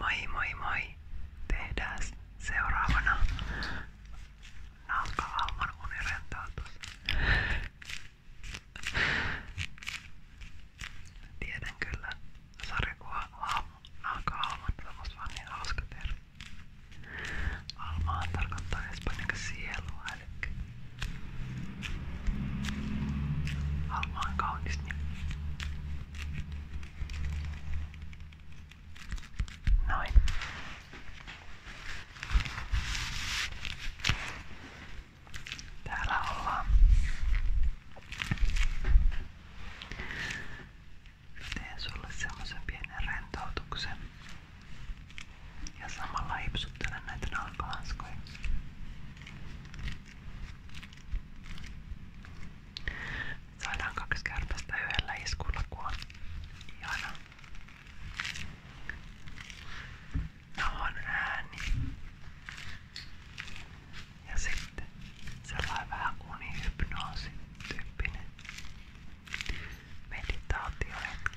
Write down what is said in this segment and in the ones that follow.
Moi moi moi! Tehdään seuraavana nalkavalman unirentoutus. Tiedän kyllä sarjakuva haamu nalkavalman, se on niin hauska termi. Almaan tarkoittaa espanjaksi sielua, eli Alma on kaunis nimi. Noin. Täällä ollaan. Teen sulle semmoisen pienen rentoutuksen. Ja samalla hipsuttelen näitä nalkalanskoja. Saadaan kaksi kärpästä yhdellä iskulla, kun on ihana. Nohon ääni. Ja sitten sellainen vähän unihypnoosi tyyppinen meditaatiohetki.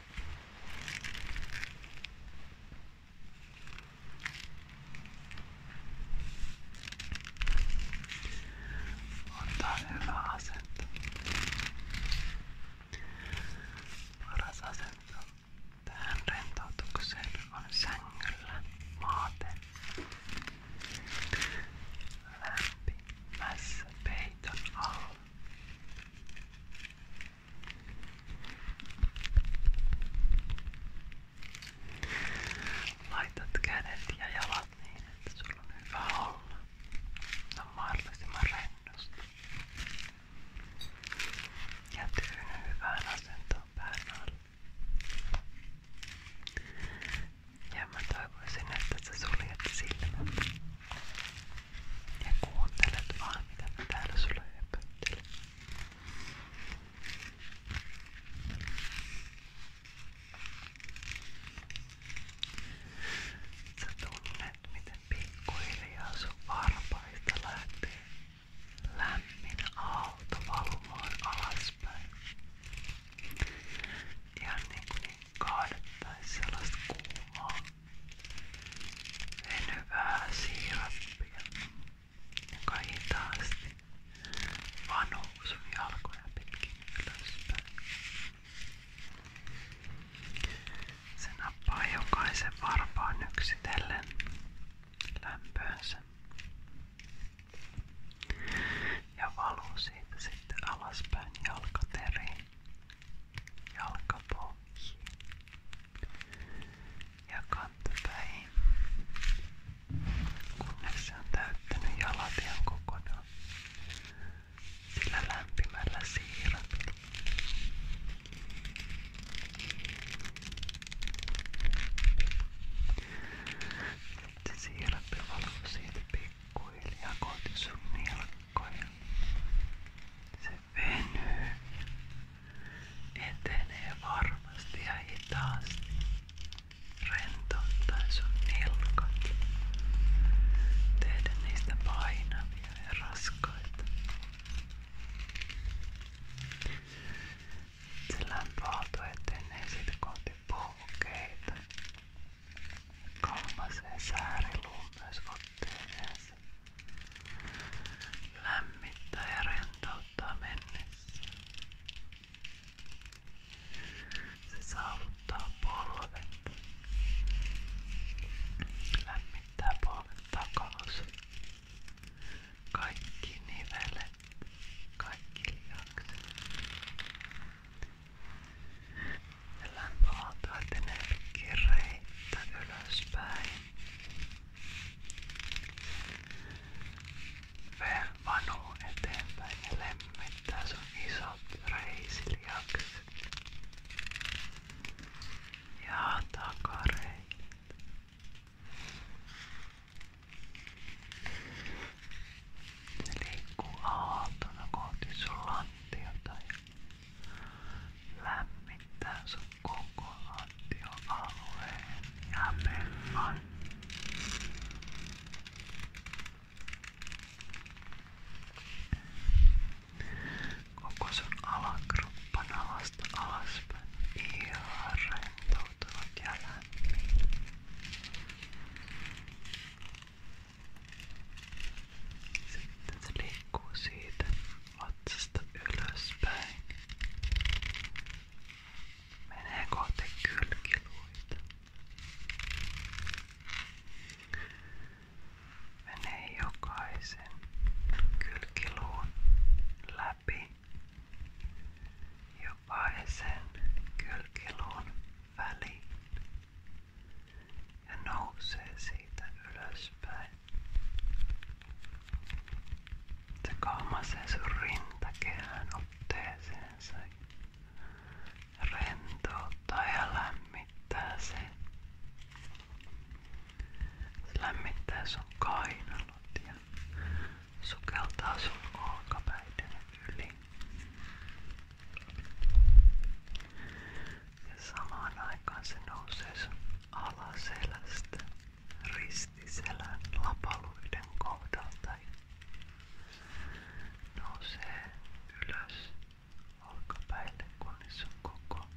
Antaa hyvä asento. Paras asento tähän rentoutukseen on sängyllä maaten. Lämpimässä peiton alla. Laitat kädet ja jalat niin, että sulla on hyvä olla. Se on mahdollisimman rennosti. Ja tyyny hyvään asentoon pään alle. Ja mä toivoisin, että sä suljet silmät. Ja kuuntelet vaan mitä mä täällä sulle höpöttelen. Sä tunnet miten pikkuhiljaa sun varpaista lähtee lämmin aalto valumaan alaspäin. Ihan niin kuin kaadettaisi sellaista kuumaa venyvää siirappia, joka hitaasti vaan nousui jalkoja pitkin ylöspäin. Se nappaa jokaisen varpaan yksitellen lämpöönsä ja valuu siitä sitten alaspäin jalkateriin jalkapohjiin ja kantapäihin, kunnes se on täyttänyt jalatian kokonaan sillä lämpimällä siirryt. Sitten siirappi valuu siitä pikkuhiljaa kohti sun viikkoja. Se venyy, etenee varmasti ja hitaasti, rentouttaen sun nilkat, tehdä niistä painavia ja raskaita. Se lämpöaalto etenee sitten kohti pohkeita Kalmaseen sääriluun myös otteen ensin. Lämmittää ja rentouttaa mennessä. Se saavuttaa polvet. Lämmittää polvet takaosa. Kaikki nivelet, kaikki lihakset. Lämpöaalto etenee kireittä ylöspäin. V vanuu eteenpäin ja lemmittää sun isot reisiliakset. Ja takareitit. Ne liikkuu aaltona kohti sun lantiota ja lämmittää sun koko lantioalueen ja pellon. Koko sun alakruppan alasta alaspäin ihan rentoutuvat ja lämmin. Sitten se liikkuu siitä vatsasta ylöspäin. Menee kohti kylkiluita. Menee jokaisen kylkiluun läpi. Jokaisen kylkiluun väliin ja nousee siitä ylöspäin. Se kalmasee sun rintakehän otteeseensa rentouttaa ja lämmittää sen. Se sukeltaa sun olkapäiden yli. Ja samaan aikaan se nousee sun alaselästä ristiselän lapaluiden kohdalta ja nousee ylös olkapäille kunnes on koko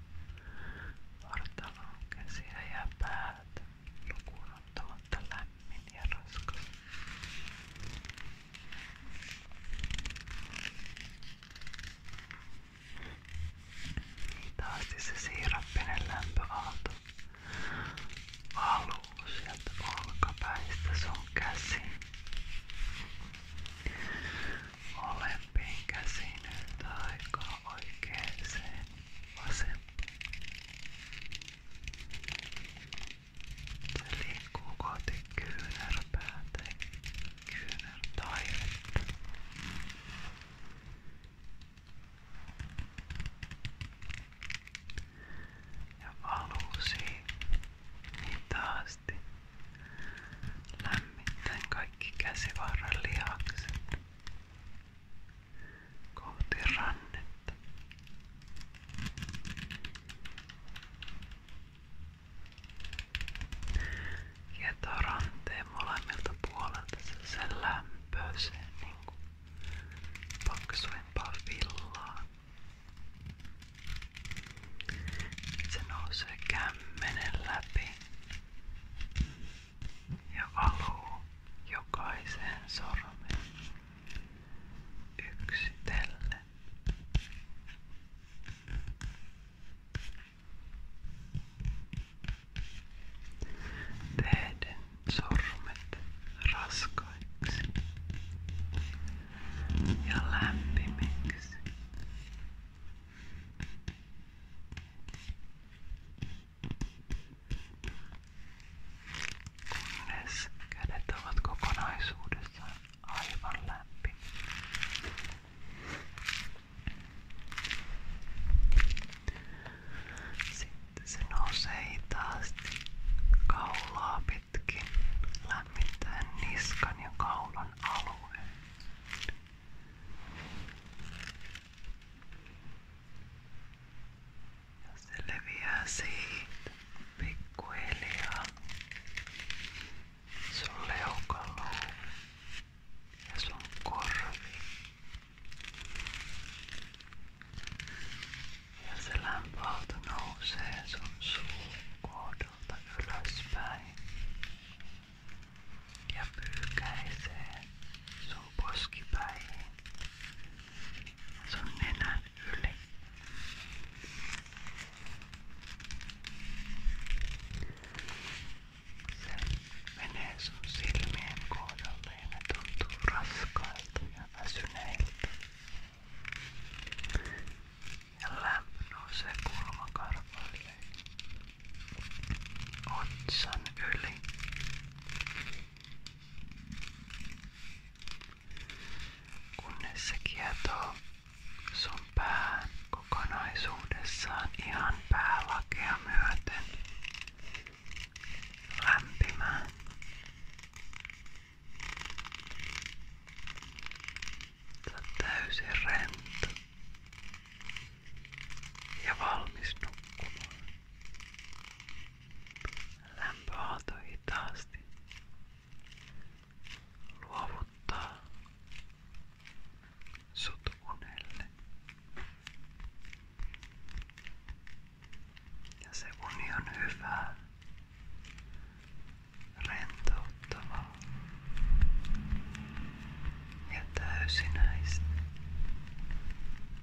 vartalon käsiä ja päät lukuun ottamatta lämmin ja raskas. Taasti se siirappinen lämpöaalto valuu sieltä olkapäistä sun käsiin. Olempiin käsiin yhtä aikaa oikeeseen vasempaan. Se liikkuu kohti kyynärpäätä ja kyynärtaivetta. Ja valuu hitaasti. Lämmittäen kaikki käsivarren lihakset kohti rannetta. Ja tuo ranteen molemmilta puolelta se, se lämpöisee niinku paksuimpaa villaa. Se nousee kämmenen läpi ja valuu jokaiseen sormeen yksitellen. Tehden sormet raskaiksi ja lämpimiksi kunnes kädet ovat kokonaisuudessaan aivan lämpimiä. Sitten se nousee hitaasti kaulaa pitkin lämmittäen niskan ja kaulan alueen. ja se leviää siitä pikkuhiljaa sun leukaluu ja sun korvi ja se lämpöaalto nousee sun suun kohdalta ylöspäin ja pyykäisee sun poskipäihin sun nenän yli. Se menee sun silmien kohdalle ja ne tuntuu raskailta ja väsyneiltä. Ja lämpö nousee kulmakarvoille otsan yli kunnes se kietoo sun pään kokonaisuudessaan ihan päälakea myöten lämpimään. Sä oot täysin rento ja valmis nukkumaan. Lämpöaalto hitaasti luovuttaa sut unelle. Ja se uni on hyvää, rentouttavaa ja täysinäistä.